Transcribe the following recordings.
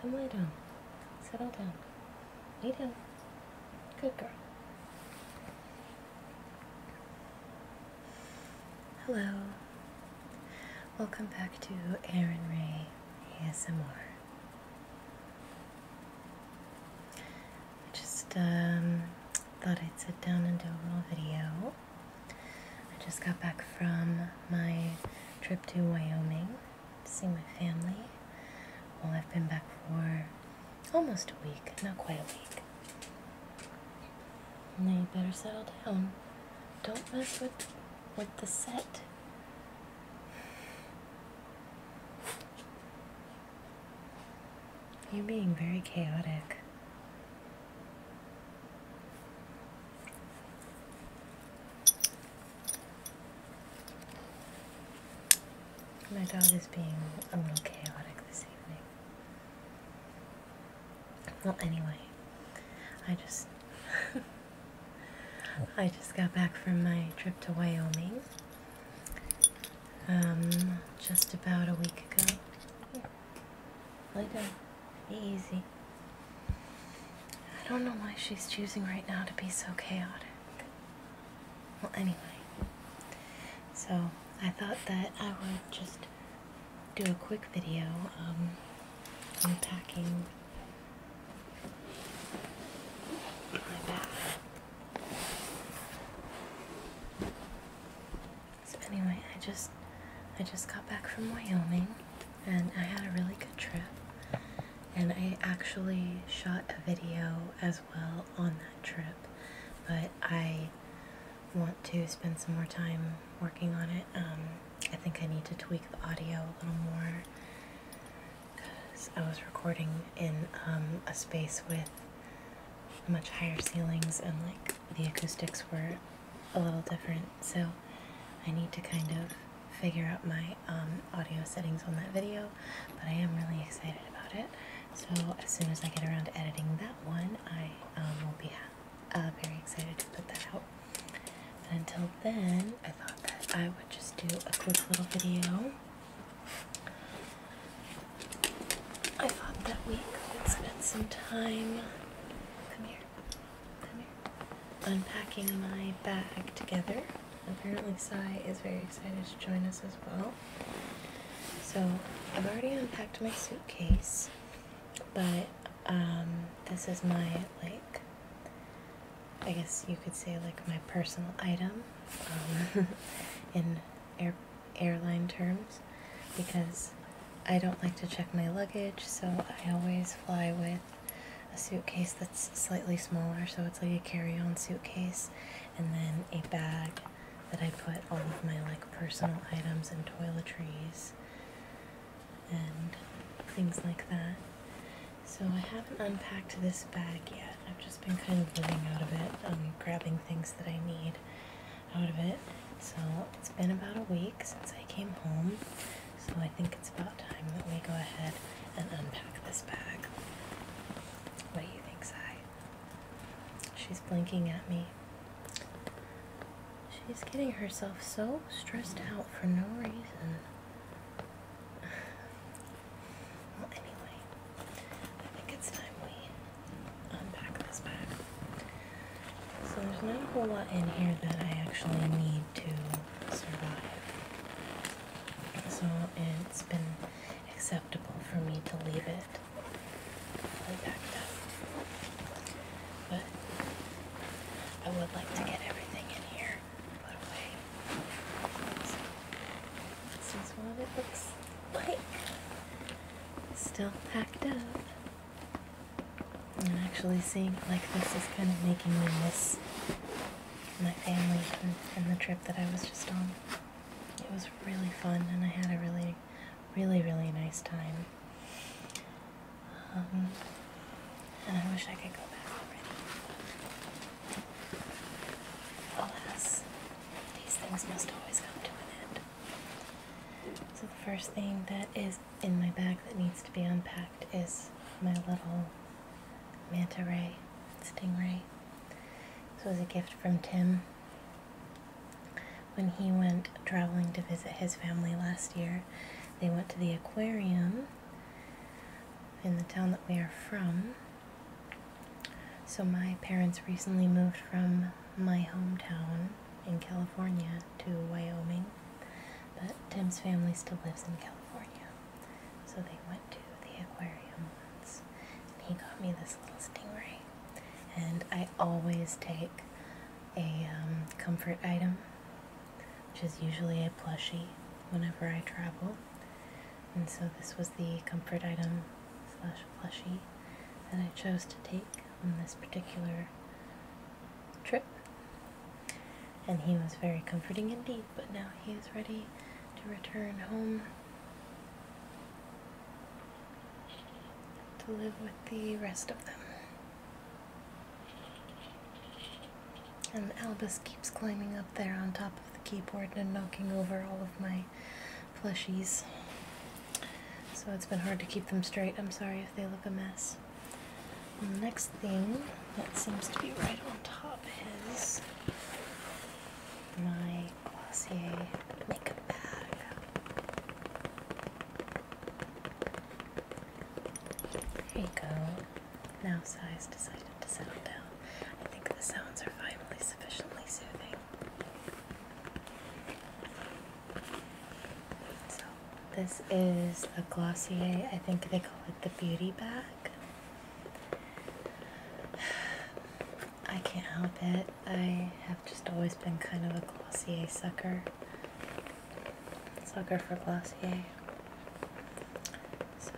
Come lay down. Settle down. Lay down. Good girl. Hello. Welcome back to Aaron Ray ASMR. I just um, thought I'd sit down and do a little video. I just got back from my trip to Wyoming to see my family. Well, I've been back for almost a week, not quite a week. Now you better settle down. Don't mess with, with the set. You're being very chaotic. My dog is being a little chaotic this evening. Well, anyway, I just I just got back from my trip to Wyoming. Um, just about a week ago. Yeah. Lay down. Easy. I don't know why she's choosing right now to be so chaotic. Well, anyway. So, I thought that I would just do a quick video um, unpacking my bag. anyway, I just I just got back from Wyoming and I had a really good trip. And I actually shot a video as well on that trip, but I want to spend some more time working on it. Um, I think I need to tweak the audio a little more because I was recording in um, a space with much higher ceilings and like the acoustics were a little different so I need to kind of figure out my um, audio settings on that video, but I am really excited about it. So as soon as I get around to editing that one, I um, will be uh, very excited to put that out. But until then, I thought that I would just do a quick little video. I thought that we could spend some time. Come here. I'm Unpacking my bag together. Apparently, Sai is very excited to join us as well. So, I've already unpacked my suitcase, but um, this is my, like, I guess you could say, like, my personal item um, in air, airline terms because I don't like to check my luggage, so I always fly with a suitcase that's slightly smaller, so it's like a carry on suitcase, and then a bag that I put all of my like personal items and toiletries and things like that. So I haven't unpacked this bag yet. I've just been kind of living out of it, um, grabbing things that I need out of it. So it's been about a week since I came home, so I think it's about time that we go ahead and unpack this bag. What do you think, Sai? She's blinking at me. She's getting herself so stressed out for no reason. Well, anyway, I think it's time we unpack this bag. So there's not a whole lot in here that I actually need to survive. So it's been acceptable for me to leave it fully packed up. But I would like to get everything in here put away. this is what it looks like. Still packed up. And actually seeing like this is kind of making me miss my family and, the trip that I was just on. It was really fun and I had a really, really, really nice time. Um, and I wish I could go back Alas, these things must always come to an end. So the first thing that is in my bag that needs to be unpacked is my little manta ray, stingray. This was a gift from Tim when he went traveling to visit his family last year. They went to the aquarium in the town that we are from. So my parents recently moved from my hometown in California to Wyoming, but Tim's family still lives in California. So they went to the aquarium once, and he got me this little stingray. And I always take a um, comfort item, which is usually a plushie whenever I travel. And so this was the comfort item slash plushie that I chose to take on this particular trip. And he was very comforting indeed, but now he is ready to return home to live with the rest of them. And Albus keeps climbing up there on top of the keyboard and knocking over all of my plushies. So it's been hard to keep them straight. I'm sorry they look a mess. next thing that seems to be right on top is my Glossier makeup bag. There you go. Now size decided to settle down. I think the sounds are finally sufficiently soothing. So this is a Glossier, I think they call it the beauty bag. I can't help it. I have just always been kind of a Glossier sucker. Sucker for Glossier. So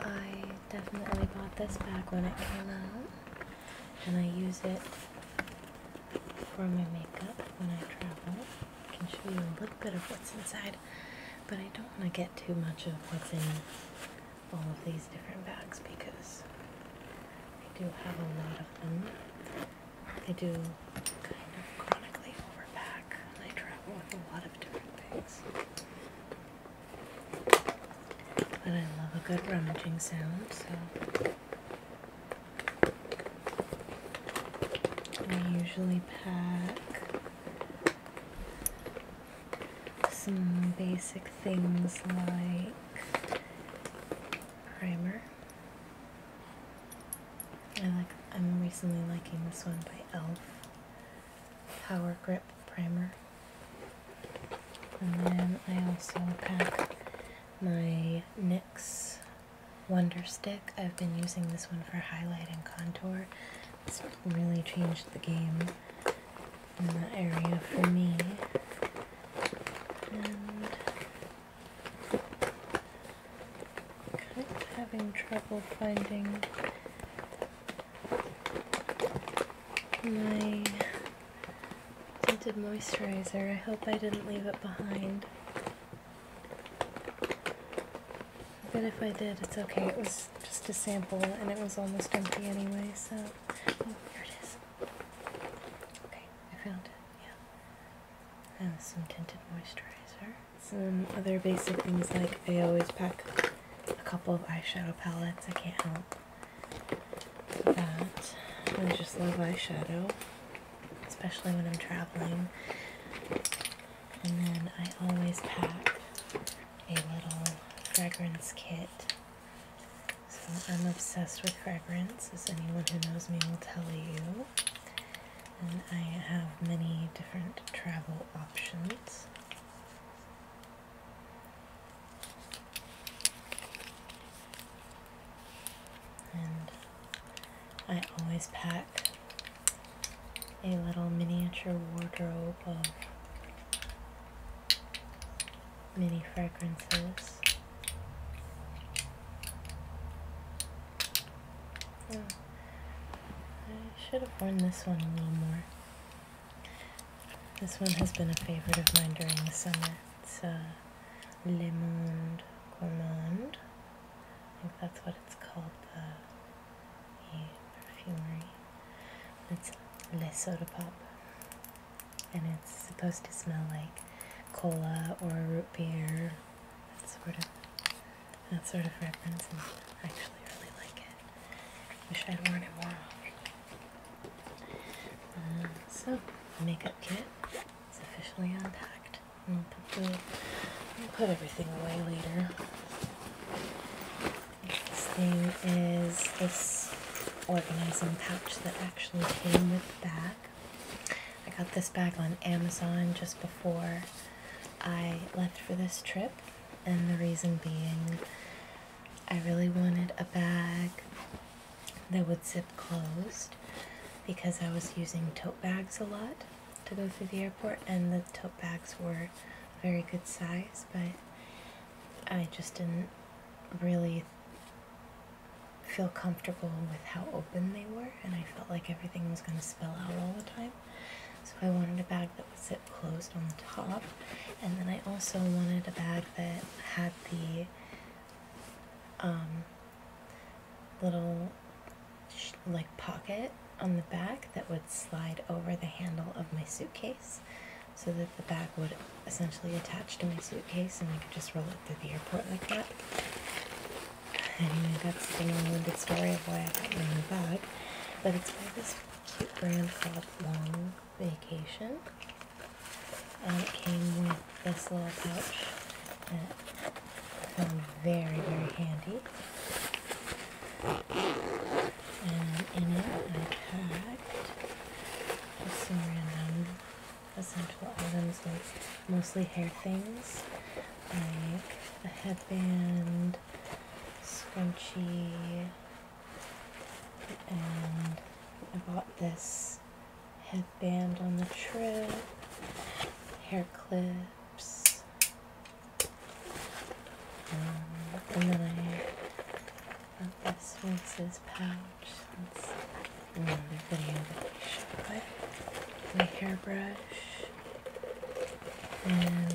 I definitely bought this bag when it came out and I use it for my makeup when I travel. I can show you a little bit of what's inside, but I don't want to get too much of what's in all of these different bags because I do have a lot of them. I do kind of chronically overpack and I travel with a lot of different things. But I love a good rummaging sound, so I usually pack some basic things like primer. I like I'm recently liking this one by e.l.f. Power Grip Primer. And then I also pack my NYX Wonder Stick. I've been using this one for highlight and contour. It's really changed the game in that area for me. And kind of having trouble finding my tinted moisturizer. I hope I didn't leave it behind. But if I did, it's okay. It was just a sample and it was almost empty anyway, so. Oh, here it is. Okay, I found it. Yeah. And some tinted moisturizer. Some other basic things like I always pack a couple of eyeshadow palettes. I can't help. I just love eyeshadow, especially when I'm traveling. And then I always pack a little fragrance kit. So I'm obsessed with fragrance, as anyone who knows me will tell you. And I have many different travel options. And I always pack a little miniature wardrobe of mini fragrances. I should have worn this one a little more. This one has been a favorite of mine during the summer. It's uh, Le Gourmand. I think that's what it's called, the, perfumery. It's Le Soda Pop. And it's supposed to smell like cola or root beer. That sort of that sort of reference I actually really like it. Wish I'd worn it more often. Uh, so, makeup kit is officially unpacked and complete. I'll put everything away later. This thing is this organizing pouch that actually came with the bag. I got this bag on Amazon just before I left for this trip, and the reason being I really wanted a bag that would zip closed because I was using tote bags a lot to go through the airport, and the tote bags were very good size, but I just didn't really feel comfortable with how open they were, and I felt like everything was going to spill out all the time. So I wanted a bag that would zip closed on the top, and then I also wanted a bag that had the um, little like pocket on the back that would slide over the handle of my suitcase so that the bag would essentially attach to my suitcase and I could just roll it through the airport like that. Anyway, that's the long-winded story of why I got my new bag, but it's by this cute brand called Long vacation. And it came with this little pouch that I found very, very handy. And in it I packed just some random essential items like mostly hair things like a headband, scrunchie, and I bought this headband on the trip, hair clips, um, and then I got this Vince's pouch. That's another video that I shot. My hairbrush and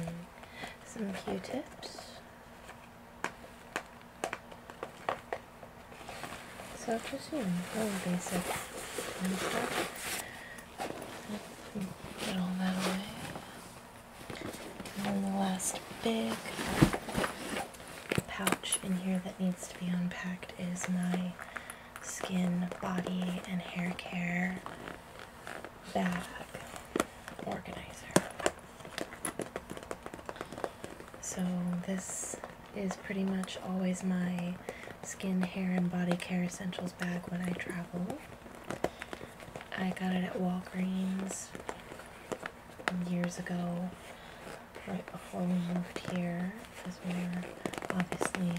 some Q-tips. So just you know, basic and stuff. all that away. And then the last big pouch in here that needs to be unpacked is my skin, body, and hair care bag organizer. So this is pretty much always my skin, hair, and body care essentials bag when I travel. I got it at Walgreens years ago, right before we moved here, because we were obviously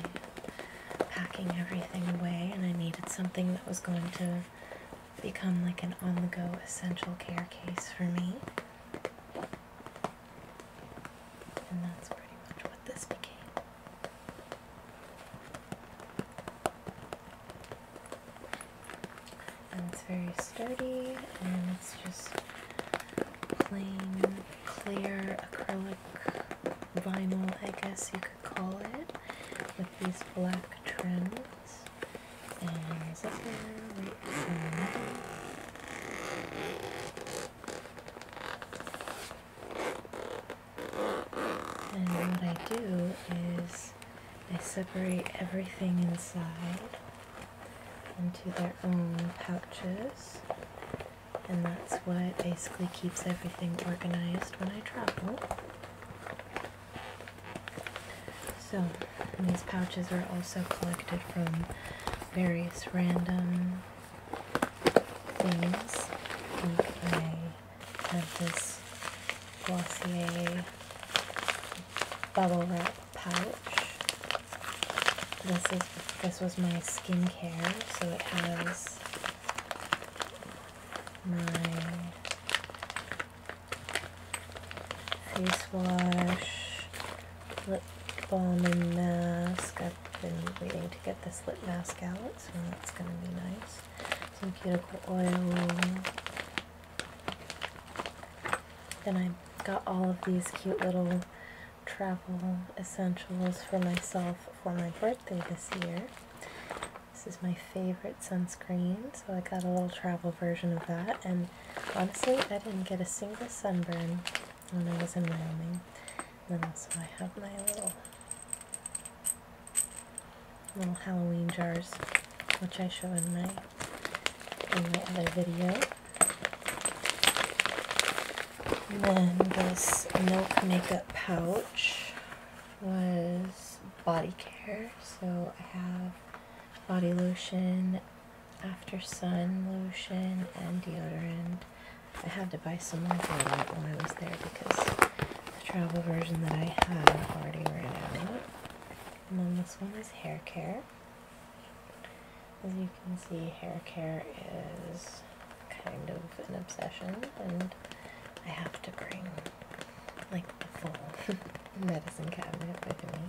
packing everything away and I needed something that was going to become like an on the go essential care case for me. And that's pretty much what this became. And it's very sturdy and it's just plain clear acrylic vinyl, I guess you could call it, with these black trims and what I do is I separate everything inside into their own pouches, and that's what basically keeps everything organized when I travel. So these pouches are also collected from various random things. Like I have this Glossier bubble wrap pouch. This is this was my skincare, so it has my face wash, lip balm and mask. I've been waiting to get this lip mask out, so that's going to be nice. Some cuticle oil. Then I got all of these cute little travel essentials for myself for my birthday this year. This is my favorite sunscreen, so I got a little travel version of that. And honestly, I didn't get a single sunburn when I was in Wyoming. Then also I have my little, little Halloween jars, which I showed in my, in my other video. then this Milk Makeup Pouch was body care. So I have body lotion, after sun lotion, and deodorant. I had to buy some more deodorant when I was there because the travel version that I had already ran out. And then this one is hair care. As you can see, hair care is kind of an obsession, and I have to bring like the full medicine cabinet with me.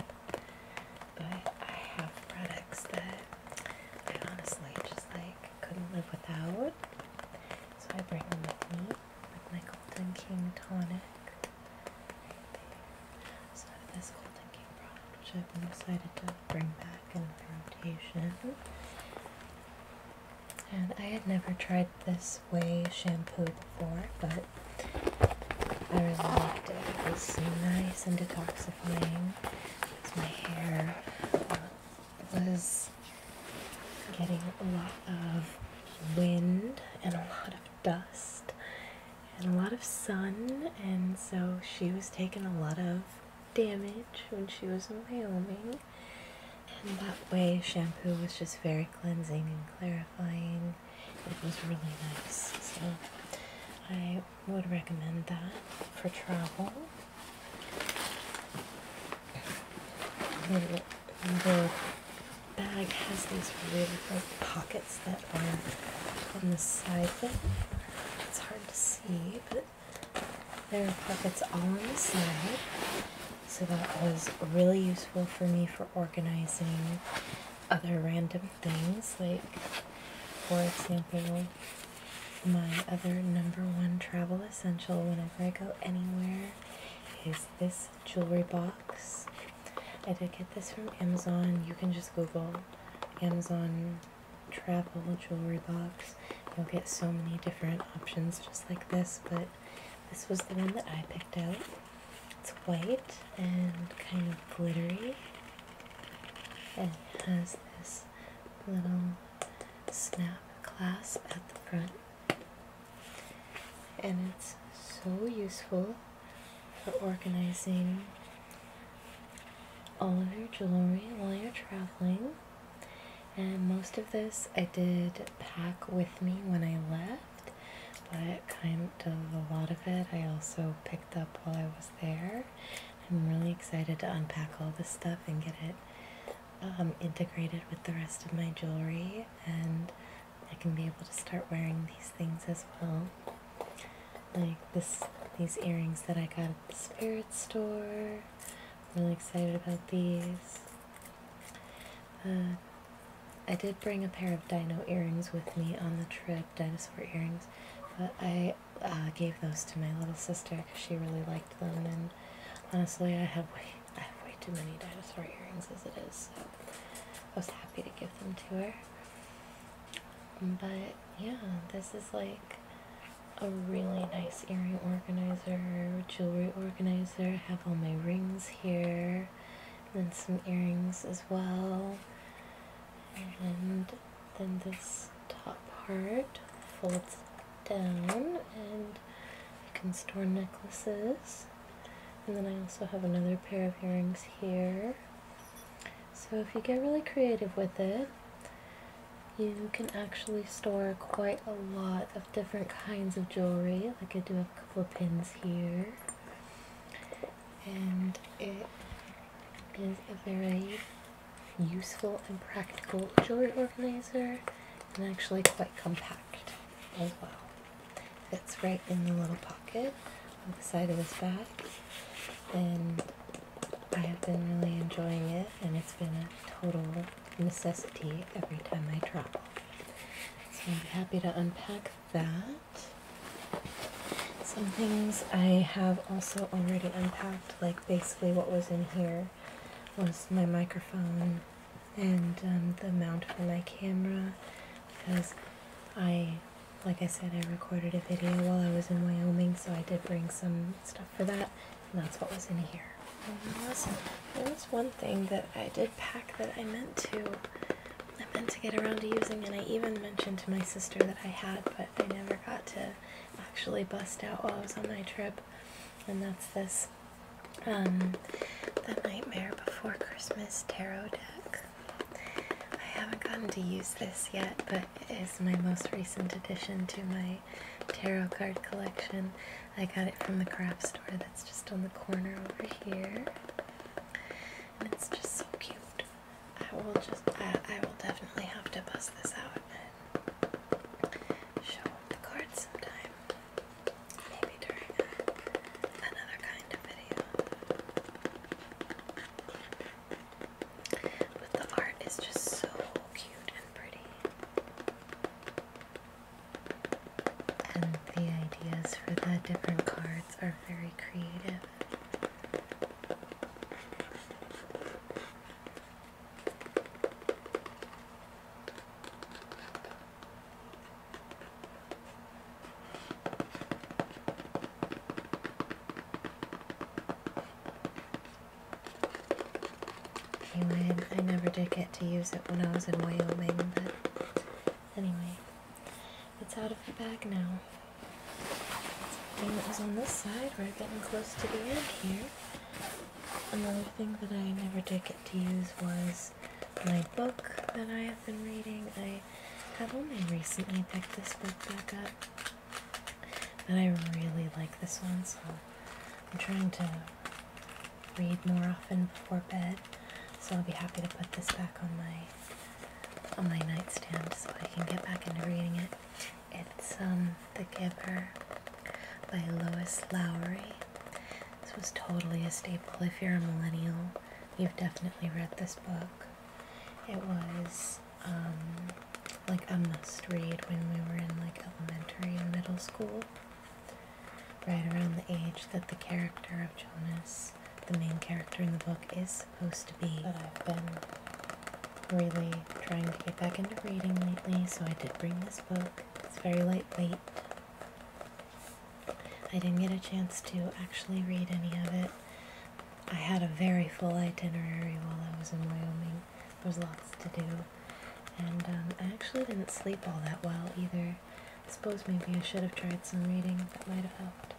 But I have products that I honestly just like couldn't live without. So I bring them with me, like my Golden King tonic. So this Golden King product, which I've been excited to bring back in the rotation. And I had never tried this way shampoo before, but I really liked it. It was nice and detoxifying because my hair uh, was getting a lot of wind and a lot of dust and a lot of sun, and so she was taking a lot of damage when she was in Wyoming and that way shampoo was just very cleansing and clarifying. It was really nice, so I would recommend that for travel. The, bag has these really big pockets that are on the side It's hard to see, but there are pockets all on the side. So that was really useful for me for organizing other random things, like, for example, my other number one travel essential whenever I go anywhere is this jewelry box. I did get this from Amazon. You can just Google Amazon travel jewelry box. You'll get so many different options just like this, but this was the one that I picked out. It's white and kind of glittery. And it has this little snap clasp at the front. And it's so useful for organizing all of your jewelry while you're traveling and most of this I did pack with me when I left, but kind of a lot of it I also picked up while I was there. I'm really excited to unpack all this stuff and get it um, integrated with the rest of my jewelry, and I can be able to start wearing these things as well. Like this, these earrings that I got at the spirit store. I'm really excited about these. Uh, I did bring a pair of dino earrings with me on the trip, dinosaur earrings, but I uh, gave those to my little sister because she really liked them, and honestly, I have way, I have way too many dinosaur earrings as it is, so I was happy to give them to her. But yeah, this is like a really nice earring organizer, jewelry organizer I have all my rings here, and then some earrings as well. And then this top part folds down, and you can store necklaces. And then I also have another pair of earrings here. So if you get really creative with it, you can actually store quite a lot of different kinds of jewelry. Like I do a couple of pins here. And it is a very useful and practical jewelry organizer and actually quite compact as well. Fits right in the little pocket on the side of this bag. And I have been really enjoying it and it's been a total necessity every time I travel. So I'm happy to unpack that. Some things I have also already unpacked, like basically what was in here was my microphone and um, the mount for my camera because I, like I said, I recorded a video while I was in Wyoming, so I did bring some stuff for that that's what was in here. There was, one thing that I did pack that I meant to, I meant to get around to using, and I even mentioned to my sister that I had, but I never got to actually bust out while I was on my trip. And that's this, um, The Nightmare Before Christmas Tarot Deck. I haven't gotten to use this yet, but it is my most recent addition to my tarot card collection. I got it from the craft store that's just on the corner over here. And it's just so cute. I will just, I, I will definitely have to bust this out and show the cards sometime. Maybe during another kind of video. But the art is just so cute and pretty. And the ideas for the different cards are very creative. Anyway, I never did get to use it when I was in Wyoming, but anyway, it's out of the bag now. And that was on this side, we're getting close to the end here. Another thing that I never did get to use was my book that I have been reading. I have only recently picked this book back up, but I really like this one, so I'm trying to read more often before bed. So I'll be happy to put this back on my on my nightstand so I can get back into reading it. It's um, The Giver by Lois Lowry. This was totally a staple. If you're a millennial, you've definitely read this book. It was um, like a must read when we were in like elementary and middle school. Right around the age that the character of Jonas, the main character in the book, is supposed to be. But I've been really trying to get back into reading lately, so I did bring this book. It's very lightweight. I didn't get a chance to actually read any of it. I had a very full itinerary while I was in Wyoming. There was lots to do, and um, I actually didn't sleep all that well either. I suppose maybe I should have tried some reading, that might have helped.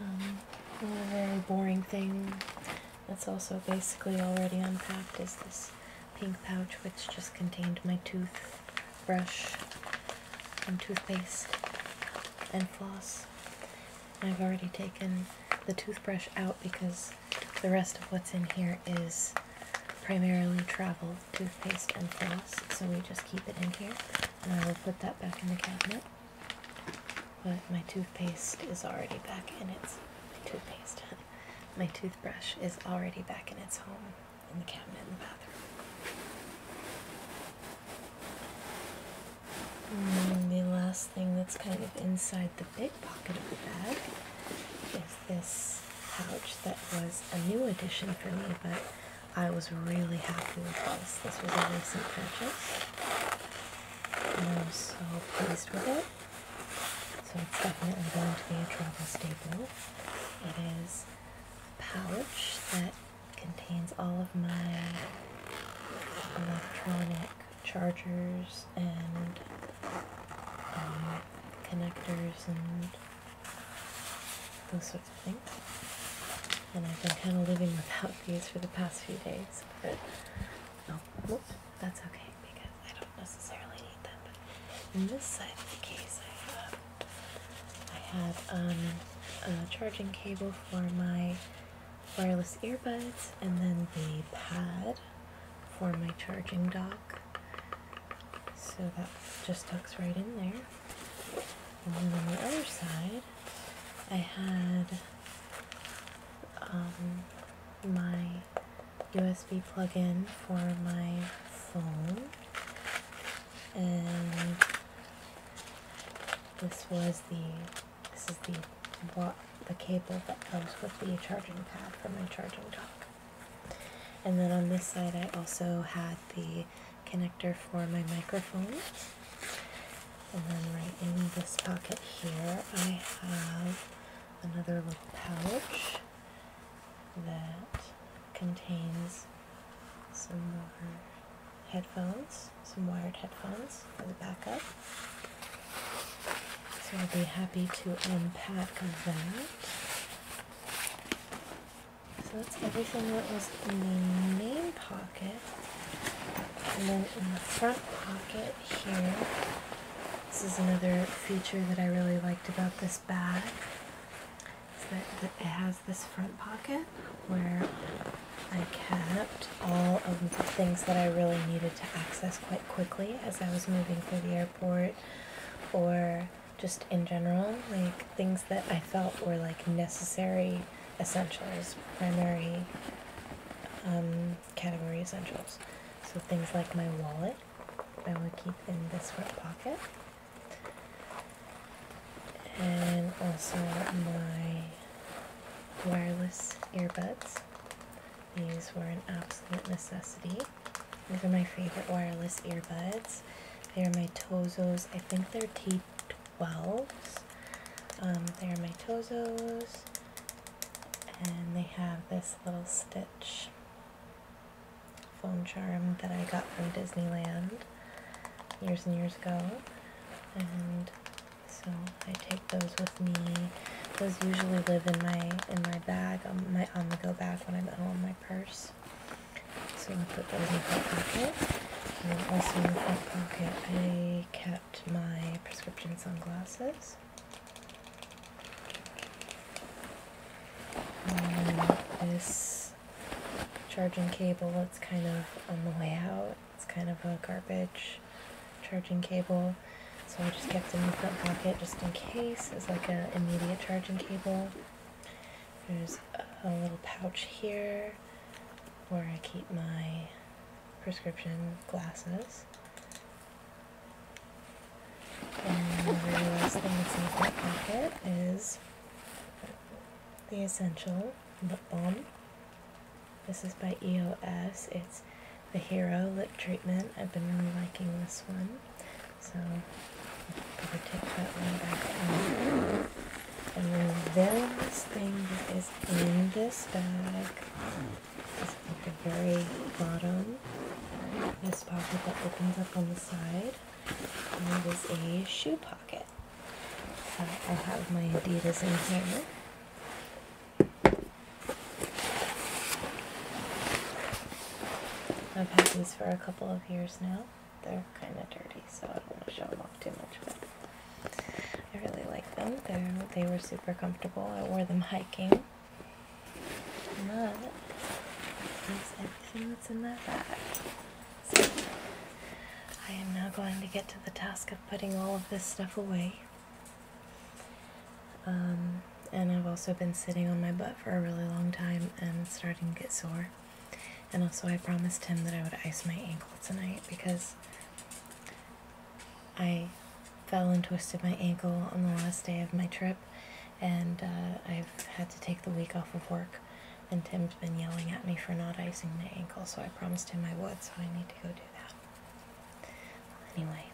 A um, very boring thing that's also basically already unpacked is this pink pouch which just contained my toothbrush and toothpaste and floss. I've already taken the toothbrush out because the rest of what's in here is primarily travel toothpaste and floss, so we just keep it in here, and I will put that back in the cabinet. But my toothpaste is already back in its my toothpaste. my toothbrush is already back in its home in the cabinet in the bathroom. Mm, the last thing that's kind of inside the big pocket of the bag is this pouch that was a new addition for me, but I was really happy with this. This was a recent purchase, and I'm so pleased with it. So it's definitely going to be a travel staple. It is a pouch that contains all of my electronic chargers and um, connectors and those sorts of things. And I've been kind of living without these for the past few days, but oh, that's okay because I don't necessarily need them. But in this side of the case, I have, um, a charging cable for my wireless earbuds and then the pad for my charging dock. So that just tucks right in there. And then on the other side, I had um, my USB plug-in for my phone. And this was the this is the what the cable that comes with the charging pad for my charging dock. And then on this side I also had the connector for my microphone. And then right in this pocket here I have another little pouch that contains some more headphones some wired headphones for the backup. So I'll be happy to unpack that. So that's everything that was in the main pocket. And then in the front pocket here, this is another feature that I really liked about this bag. Is that it has this front pocket where I kept all of the things that I really needed to access quite quickly as I was moving through the airport or just in general, like things that I felt were like necessary essentials, primary um, category essentials. So things like my wallet, I would keep in this front pocket, and also my wireless earbuds. These were an absolute necessity. These are my favorite wireless earbuds. They are my Tozos. I think they're t twelve. Um, they are my Tozos. And they have this little stitch phone charm that I got from Disneyland years and years ago. And so I take those with me. Those usually live in my in my bag, on um, my on-the-go bag when I'm at home, my purse. So I put those in the front pocket. And also in the front pocket, I kept my prescription sunglasses. this charging cable that's kind of on the way out it's kind of a garbage charging cable. So I just kept it in the front pocket just in case. It's like an immediate charging cable. There's a little pouch here where I keep my prescription glasses. And the last thing that's in the front pocket is the Essential Lip Balm. This is by EOS. It's the Hero Lip Treatment. I've been really liking this one. So, i am gonna take that one back on. And then the last thing that is in this bag is at the very bottom. This pocket that opens up on the side. And it is a shoe pocket. I have my Adidas in here. I've had these for a couple of years now. They're kind of dirty, so I don't want to show them off too much, but I really like them. they they were super comfortable. I wore them hiking. But everything that's in that bag. I am now going to get to the task of putting all of this stuff away. Um, and I've also been sitting on my butt for a really long time and starting to get sore. And also, I promised him that I would ice my ankle tonight because I fell and twisted my ankle on the last day of my trip, and uh, I've had to take the week off of work. And Tim's been yelling at me for not icing my ankle, so I promised him I would, so I need to go do that. Anyway,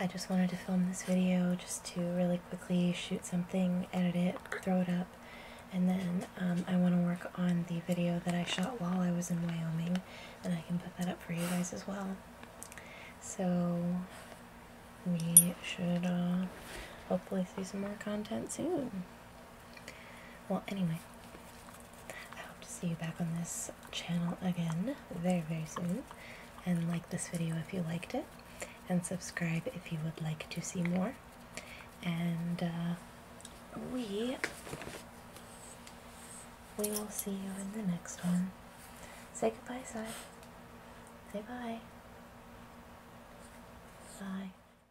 I just wanted to film this video just to really quickly shoot something, edit it, throw it up, and then um, I want to work on the video that I shot while I was in Wyoming, and I can put that up for you guys as well. So, we should uh, hopefully see some more content soon. Well, anyway, I hope to see you back on this channel again very, very soon. And like this video if you liked it, and subscribe if you would like to see more. And uh, we we will see you in the next one. Say goodbye, Sai. Say bye. Bye.